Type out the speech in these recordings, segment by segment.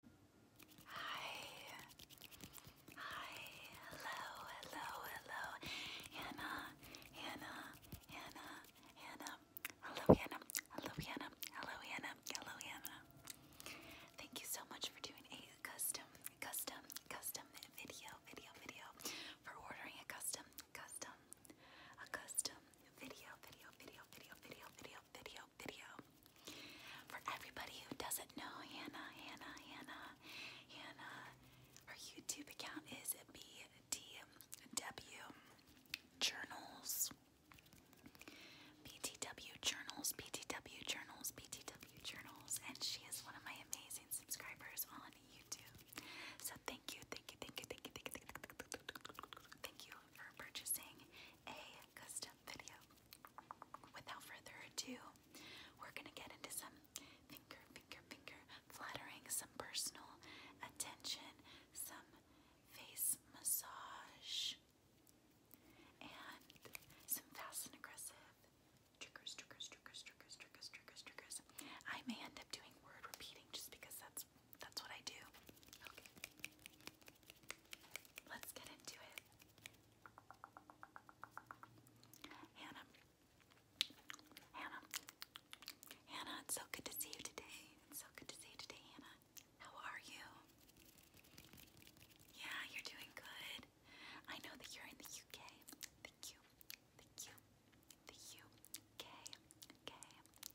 Hi. Hi. Hello. Hello. Hello. Hannah. Hannah. Hannah. Hannah. Hello, Hannah. Hello, Hannah. Hello, Hannah. Hello, Hannah. Thank you so much for doing a custom, custom, custom video, video, video. For ordering a custom, custom, a custom video, video, video, video, video, video, video, video For everybody who doesn't know Hannah, Hannah, Hannah, Hannah, her YouTube account is BTW Journals. BTW Journals, BTW Journals, BTW Journals, and she is one of my amazing subscribers on YouTube. So thank you, thank you, thank you, thank you, thank you, thank you, thank you for purchasing a custom Without further ado, we're gonna get into some finger, finger, finger flattering, some personal attention, some face massage, and some fast and aggressive triggers, triggers, triggers, triggers, triggers, triggers, triggers. I may end up doing word repeating just because that's that's what I do. Okay. Let's get into it. Hannah, Hannah, Hannah, it's so good to see you today. It's so good to see you today, Hannah. How are you? Yeah, you're doing good. I know that you're in the UK. The Q, the Q, the UK, K,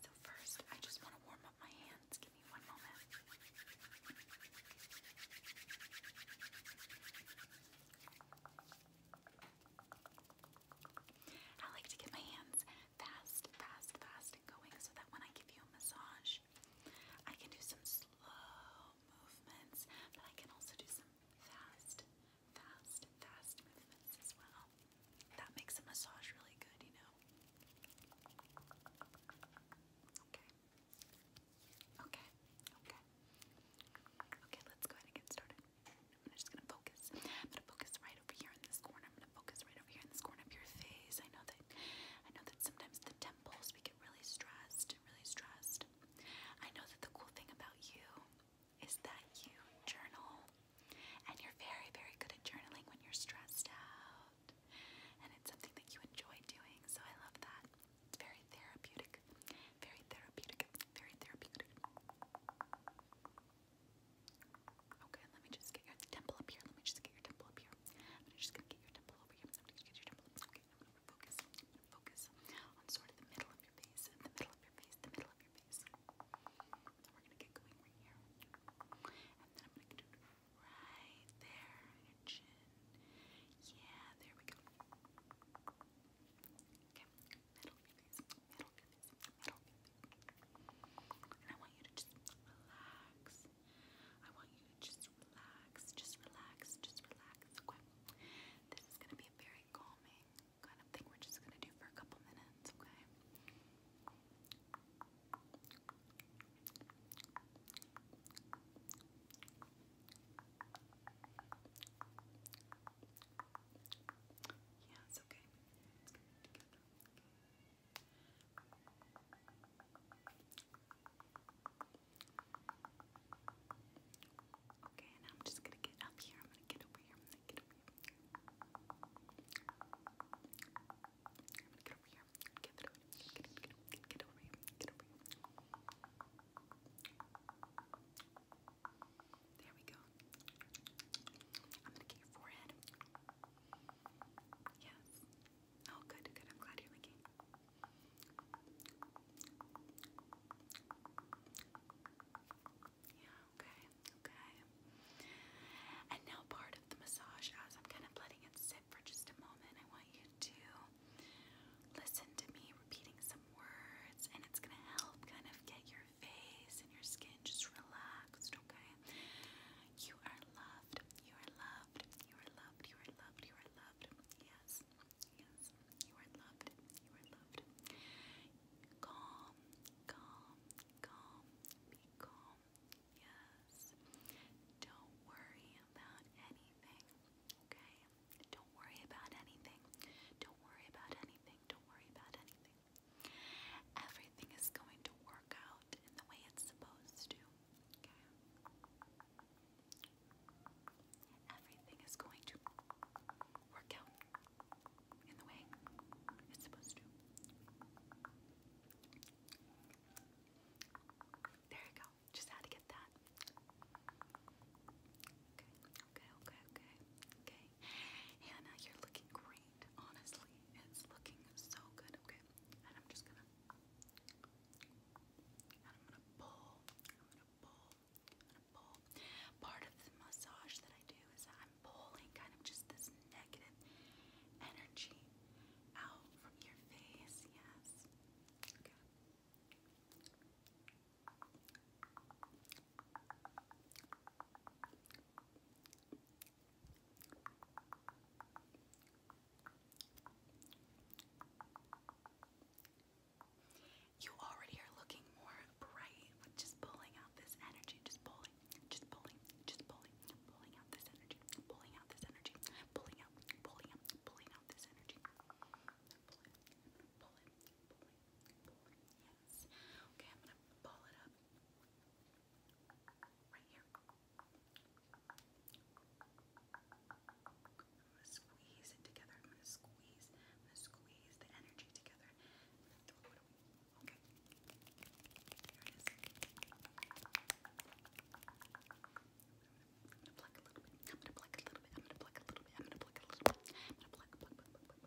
So first, I just want to warm up my hands. Give me one moment. I like to get my hands fast, fast, fast and going so that when I give you a massage, I can do some slow movements, but I can also do some fast fast, fast movements as well. That makes a massage really good, you know. Okay. Okay. Okay. Okay, let's go ahead and get started. I'm just gonna focus. I'm gonna focus right over here in this corner. I'm gonna focus right over here in this corner of your face. I know that I know that sometimes the temples we get really stressed, really stressed. I know that the cool thing about you is that you journal. And you're very, very good at journaling when you're stressed out. And it's something that you enjoy doing, so I love that. It's very therapeutic. Very therapeutic. Very therapeutic. Okay, let me just get your temple up here. Let me just get your temple up here. I'm just gonna get your temple over here. I'm just gonna get your temple. Okay, I'm gonna focus. I'm gonna focus on sort of the middle of your face. The middle of your face. The middle of your face. Yeah, there we go. middle fingers, middle fingers, middle fingers. And I want you to just relax. I want you to just relax, just relax, just relax. Okay. This is gonna be very calming kind of thing we're just gonna do for a couple minutes, okay? Yeah, it's okay. Okay, and I'm just gonna get up here. I'm gonna get over here. I'm gonna get over here i There we go. I'm gonna get your forehead. Yes. Oh, good, good. I'm glad you're looking. Yeah, okay, okay. And now part of the massage, as I'm kind of letting it sit for just a moment, I want you to listen to me repeating some words, and it's gonna help kind of get your face and your skin just relaxed, okay? You are loved, you are loved, you are loved, you are loved, you are loved. Yes, yes, you are loved, you are loved calm, calm, calm, be calm. Yes. Don't worry about anything, okay? Don't worry about anything. Don't worry about anything. Don't worry about anything. Everything is going to work out in the way it's supposed to, okay? everything is going to work out in the way it's supposed to. There you go. Just had to get that. Okay, okay, okay, okay, Hannah, you're looking great. Honestly, it's looking so good. Okay, and I'm just gonna. And I'm gonna pull. I'm gonna pull. I'm gonna pull. Part of the massage that I do is that I'm pulling kind of just this negative energy out from your face. Yes. Okay. Okay. You already are looking more bright with just pulling out this energy, just pulling, just pulling, just pulling, pulling out this energy, pulling out this energy, pulling out, pulling out, pulling out this energy. Pulling, pulling, pulling, pulling. Yes. Okay, I'm gonna pull it up. Right here. I'm I'm gonna squeeze it together. I'm gonna squeeze. I'm gonna squeeze the energy together. Okay. There it is. I'm gonna pluck a little bit. I'm gonna pluck a little bit. I'm gonna pluck a little bit. I'm gonna pluck a little bit. I'm gonna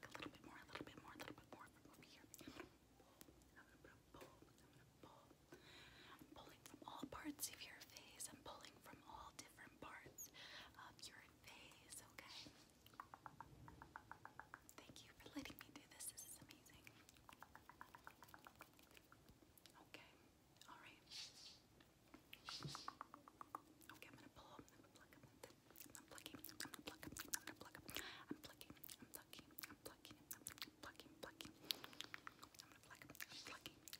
pluck, pluck, pluck, pluck, pluck. I'm gonna pluck a little bit more, a little bit more, a little bit more from over here. I'm gonna pull. I'm gonna pull. I'm gonna pull. I'm pulling from all parts of your face. I'm pulling from all different parts of your face, okay? Thank you for letting me do this. This is amazing. Okay, alright. Okay, I'm gonna pluck up, I'm plucking, i I'm gonna I'm plucking, i I'm plucking, i plucking,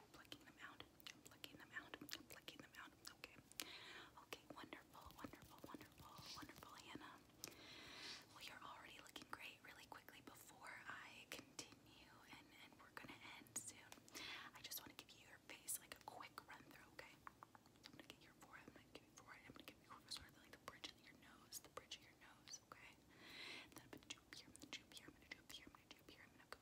plucking them out. I'm plucking them out. I'm plucking them out. Okay. Okay, wonderful, wonderful, wonderful, wonderful, Hannah. Well, you're already looking great really quickly before I continue, and, and we're going to end soon. I just want to give you your face like a quick run through, okay? I'm going to get your forehead. I'm going to give you forehead. I'm going to give you sort of like the bridge of your nose, the bridge of your nose, okay? And then I'm going to droop here. I'm going to droop here. I'm going to droop here. I'm going to droop here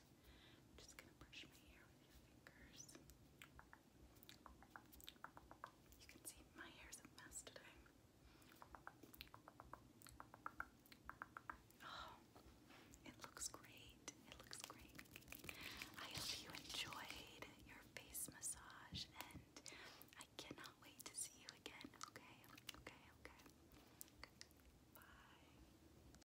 i just gonna brush my hair with your fingers. You can see my hair's a mess today. Oh, it looks great. It looks great. I hope you enjoyed your face massage and I cannot wait to see you again. okay, okay. okay. Bye.